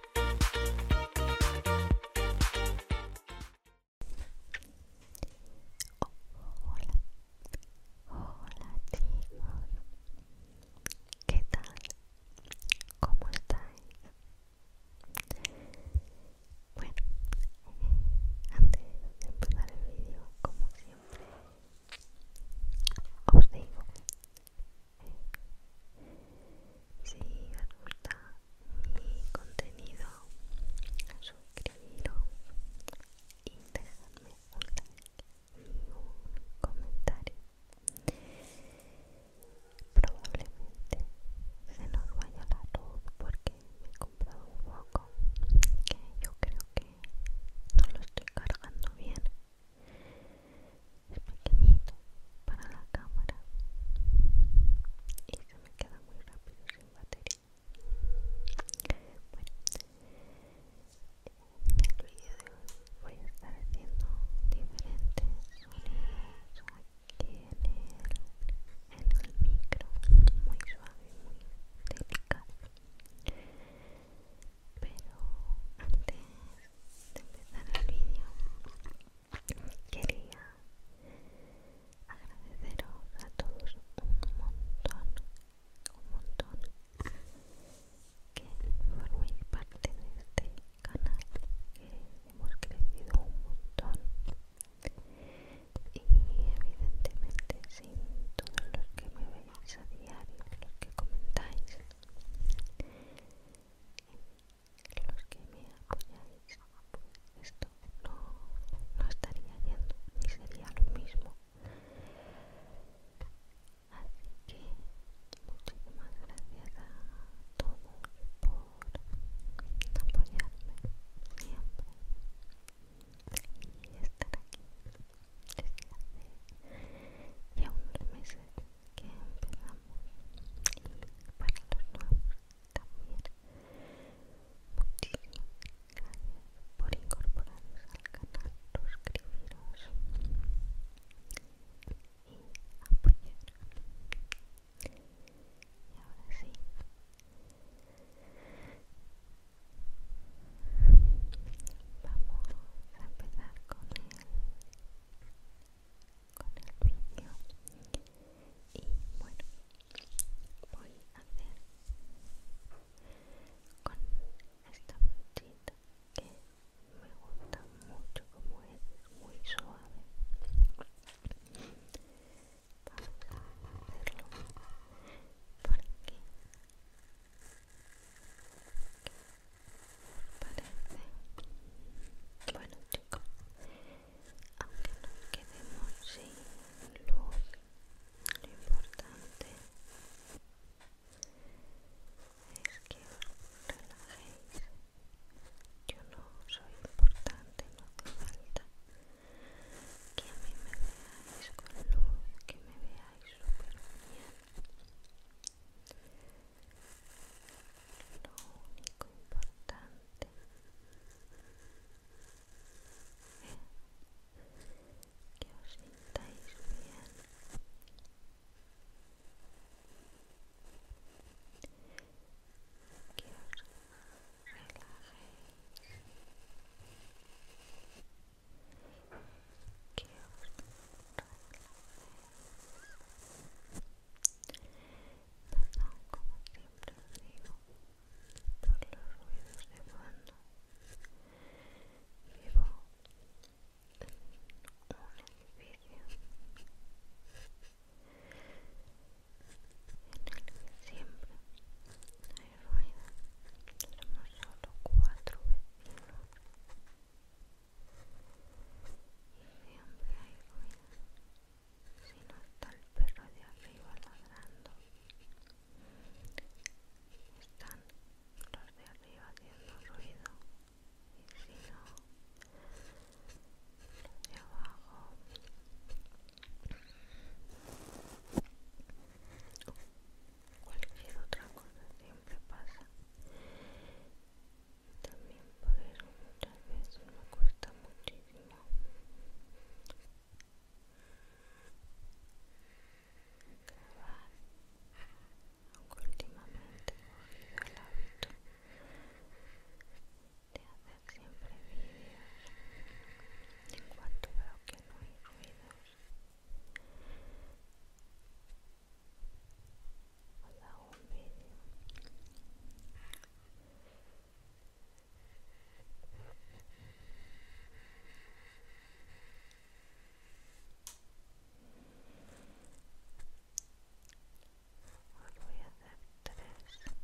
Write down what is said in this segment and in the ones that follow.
Hola, hola chicos, ¿qué tal? ¿Cómo estáis? Bueno, antes de empezar el vídeo, como siempre, os digo si os gusta mi contenido, suscribiros y dejadme un comentario. Probablemente se nos vaya la luz porque me he comprado un poco que yo creo que no lo estoy cargando bien es pequeñito para la cámara y se me queda muy rápido sin batería bueno en el video voy a estar haciendo diferentes sonidos aquí en el, en el micro muy suave muy delicado pero antes de empezar el vídeo quería agradeceros a todos un montón un montón que forméis parte de este canal que hemos crecido un montón y evidentemente sin todos los que me veis a diario los que comentáis los que me apoyáis, pues esto no, no estaría yendo ni sería lo mismo. Así que muchísimas gracias a todos por apoyarme siempre y estar aquí desde hace ya unos meses que empezamos y para los nuevos también muchísimas gracias por incorporaros al canal suscribiros y apoyar y ahora sí Vamos a empezar con el con el vídeo y bueno voy a hacer con esta brochita que me gusta mucho como es muy suave vamos a hacerlo porque parece bueno chicos aunque nos quedemos sin luz lo importante es que os relajéis yo no soy importante no hace falta que a mí me veáis con luz que me veáis súper bien lo único importante que os sintáis bien que os relajéis que os Perdón, como siempre os digo, los ruidos de fondo. Vivo en un edificio en el que siempre hay ruido. Somos solo vecinos y siempre hay ruido. Si no está el perro de arriba ladrando, están los de arriba haciendo ruido. Y si no, los de abajo cualquier otra cosa siempre pasa también por eso muchas veces me cuesta muchísimo grabar aunque últimamente he cogido el hábito de hacer siempre vídeos en cuanto veo que no hay ruidos Hola, un vídeo Hoy voy a hacer tres sonidos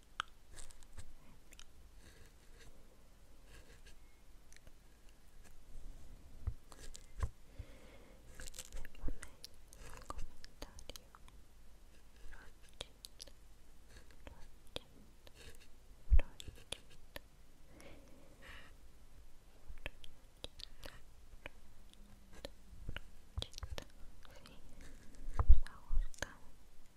comentario me ha gustado.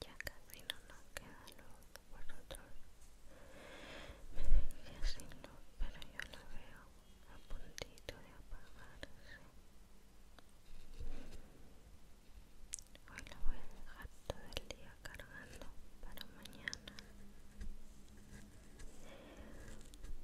Ya casi no nos queda luz, vosotros me dejé sin pero yo la veo a puntito de apagarse. Hoy la voy a dejar todo el día cargando para mañana.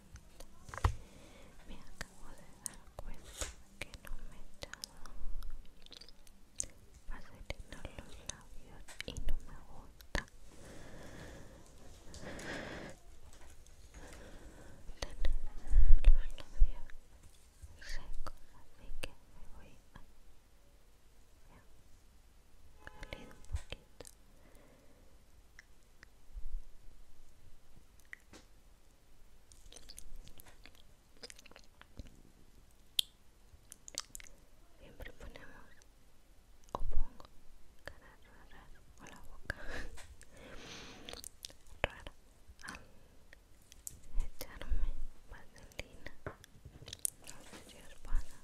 Me acabo de dar cuenta que no me he echado los labios y no me gusta tener los labios secos, así que me voy a salir un poquito. Siempre ponemos o pongo caras raras o la boca rara echarme vaselina. No sé si os pasa.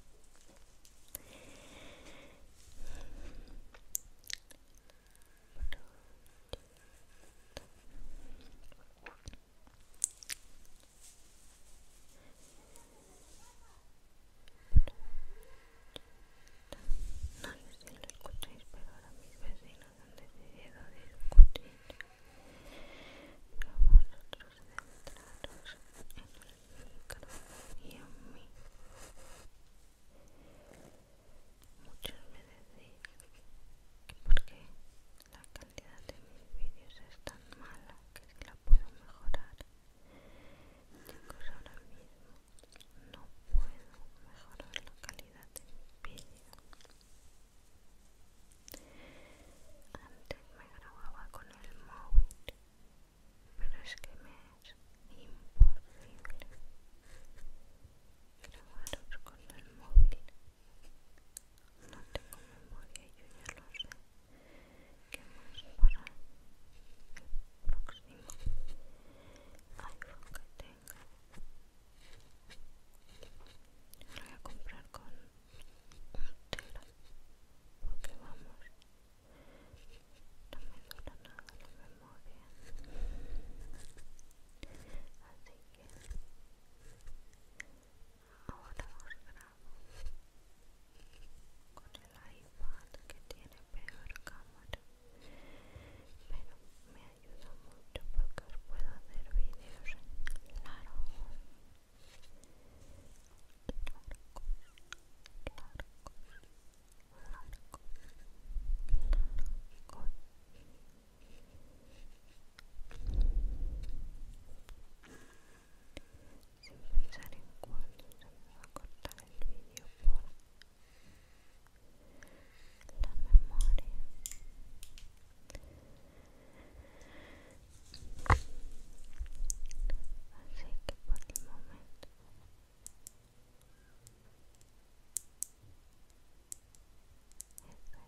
No sé si lo escucháis, pero ahora mis vecinos han decidido discutir Vamos vosotros centraros en el micro y en mí. Muchos me decían que porque la calidad de mis vídeos es tan mala que si la puedo mejorar. que ahora mismo no puedo mejorar la calidad de mis vídeos. Antes me grababa con el móvil, pero es que me imposible grabaros con el móvil no tengo memoria y yo ya lo sé ¿Qué más para el próximo iPhone que tenga lo voy a comprar con un porque vamos nada, muy bien así que ahora os grabo con el iPad que tiene peor cámara pero me ayuda mucho porque puedo hacer vídeos en Claro. Sin pensar en cuál va a cortar el vídeo por la memoria. Así que por el momento esta es la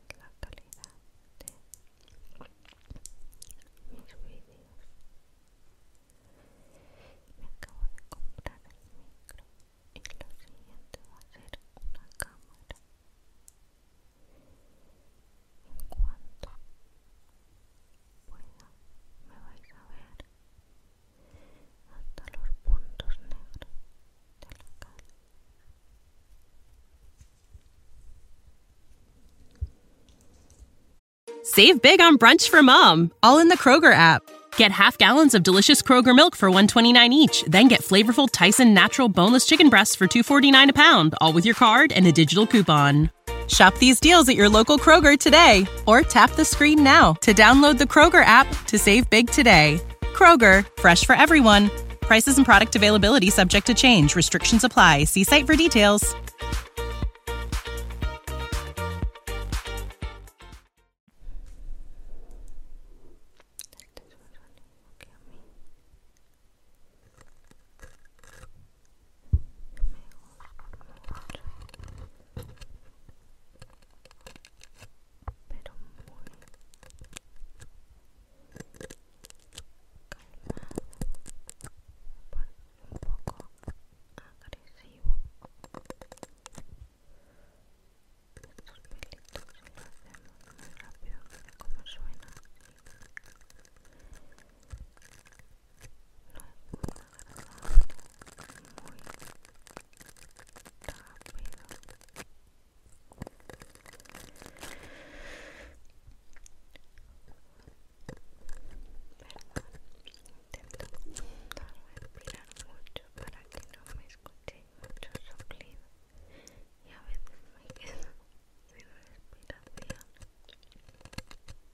calidad de mis vídeos. Me acabo de comprar el micro y lo siguiente va a ser una cámara. En cuanto bueno, me vais a ver Save big on brunch for mom, all in the Kroger app. Get half gallons of delicious Kroger milk for 129 each, then get flavorful Tyson natural boneless chicken breasts for 249 a pound, all with your card and a digital coupon. Shop these deals at your local Kroger today or tap the screen now to download the Kroger app to save big today. Kroger, fresh for everyone. Prices and product availability subject to change. Restrictions apply. See site for details. pero muy calmado, un poco agresivo. Estos pelitos si lo hacemos muy rápido, mira cómo suena. respirar mucho para que no me escuchéis mucho soplido y a veces me quedo sin respiración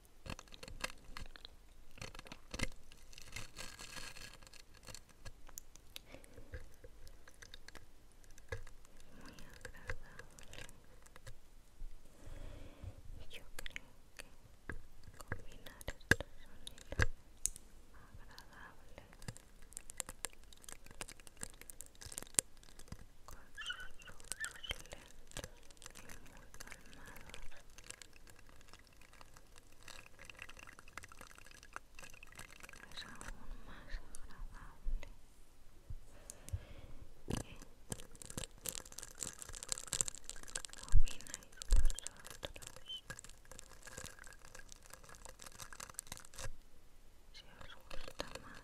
muy agradable Yo creo que combinar estos sonidos agradables con sus lentos y muy calmados es aún más agradable ¿Qué opináis vosotros? Si os gusta más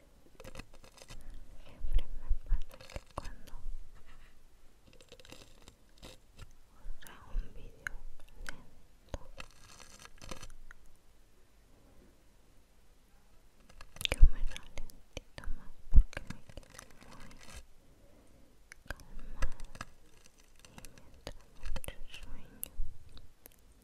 Siempre me pasa que cuando os hago un vídeo lento yo me ralentito más porque me quedo muy calmada y mientras entra mucho sueño ¿Cómo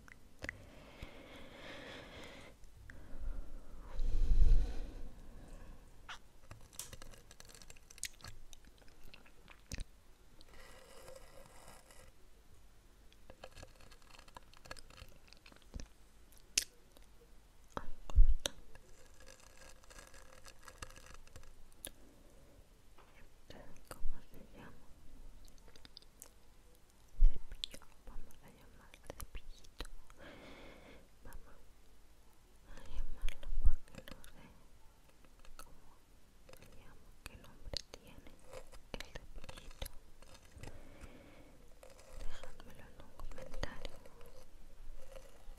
se llama? cepillo vamos a llamarlo cepillito vamos a llamarlo porque no sé cómo se llama qué nombre tiene el cepillito dejadmelo en un comentario y así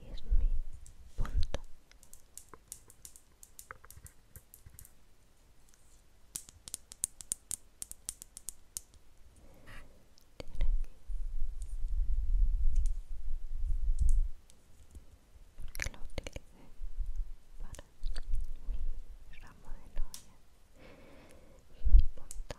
y es mi punto porque lo utilicé para mi ramo de novia y mi punto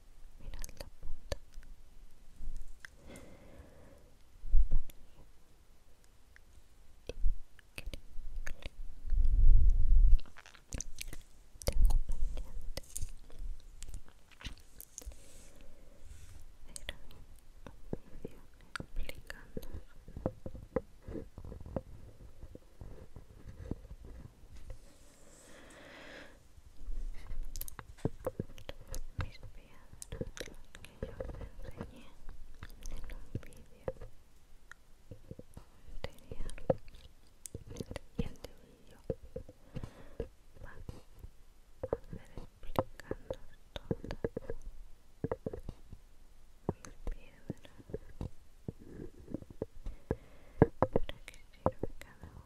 mirad la punta tengo pendiente era un video explicando cómo mis piedras que yo te enseñé en un vídeo en el siguiente vídeo va a hacer explicando todas mis piedras para que sirve cada uno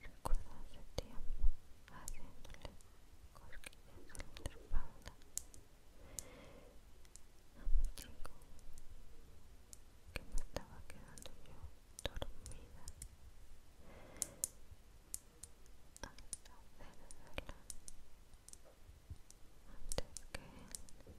Recuerdo hace tiempo haciéndole cosquillas en mi espalda a mi chico que me estaba quedando yo dormida al hacerla antes que él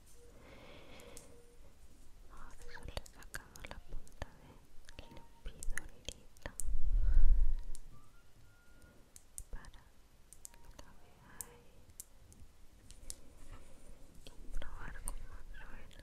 ahora solo he sacado la punta de lepidolita para la veáis y probar cómo suena aquí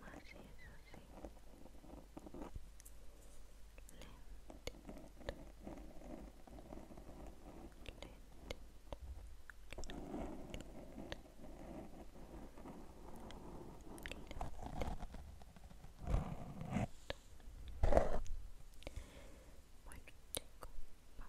más eso sí bueno chicos vamos a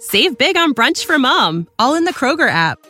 Save big on brunch for mom, all in the Kroger app.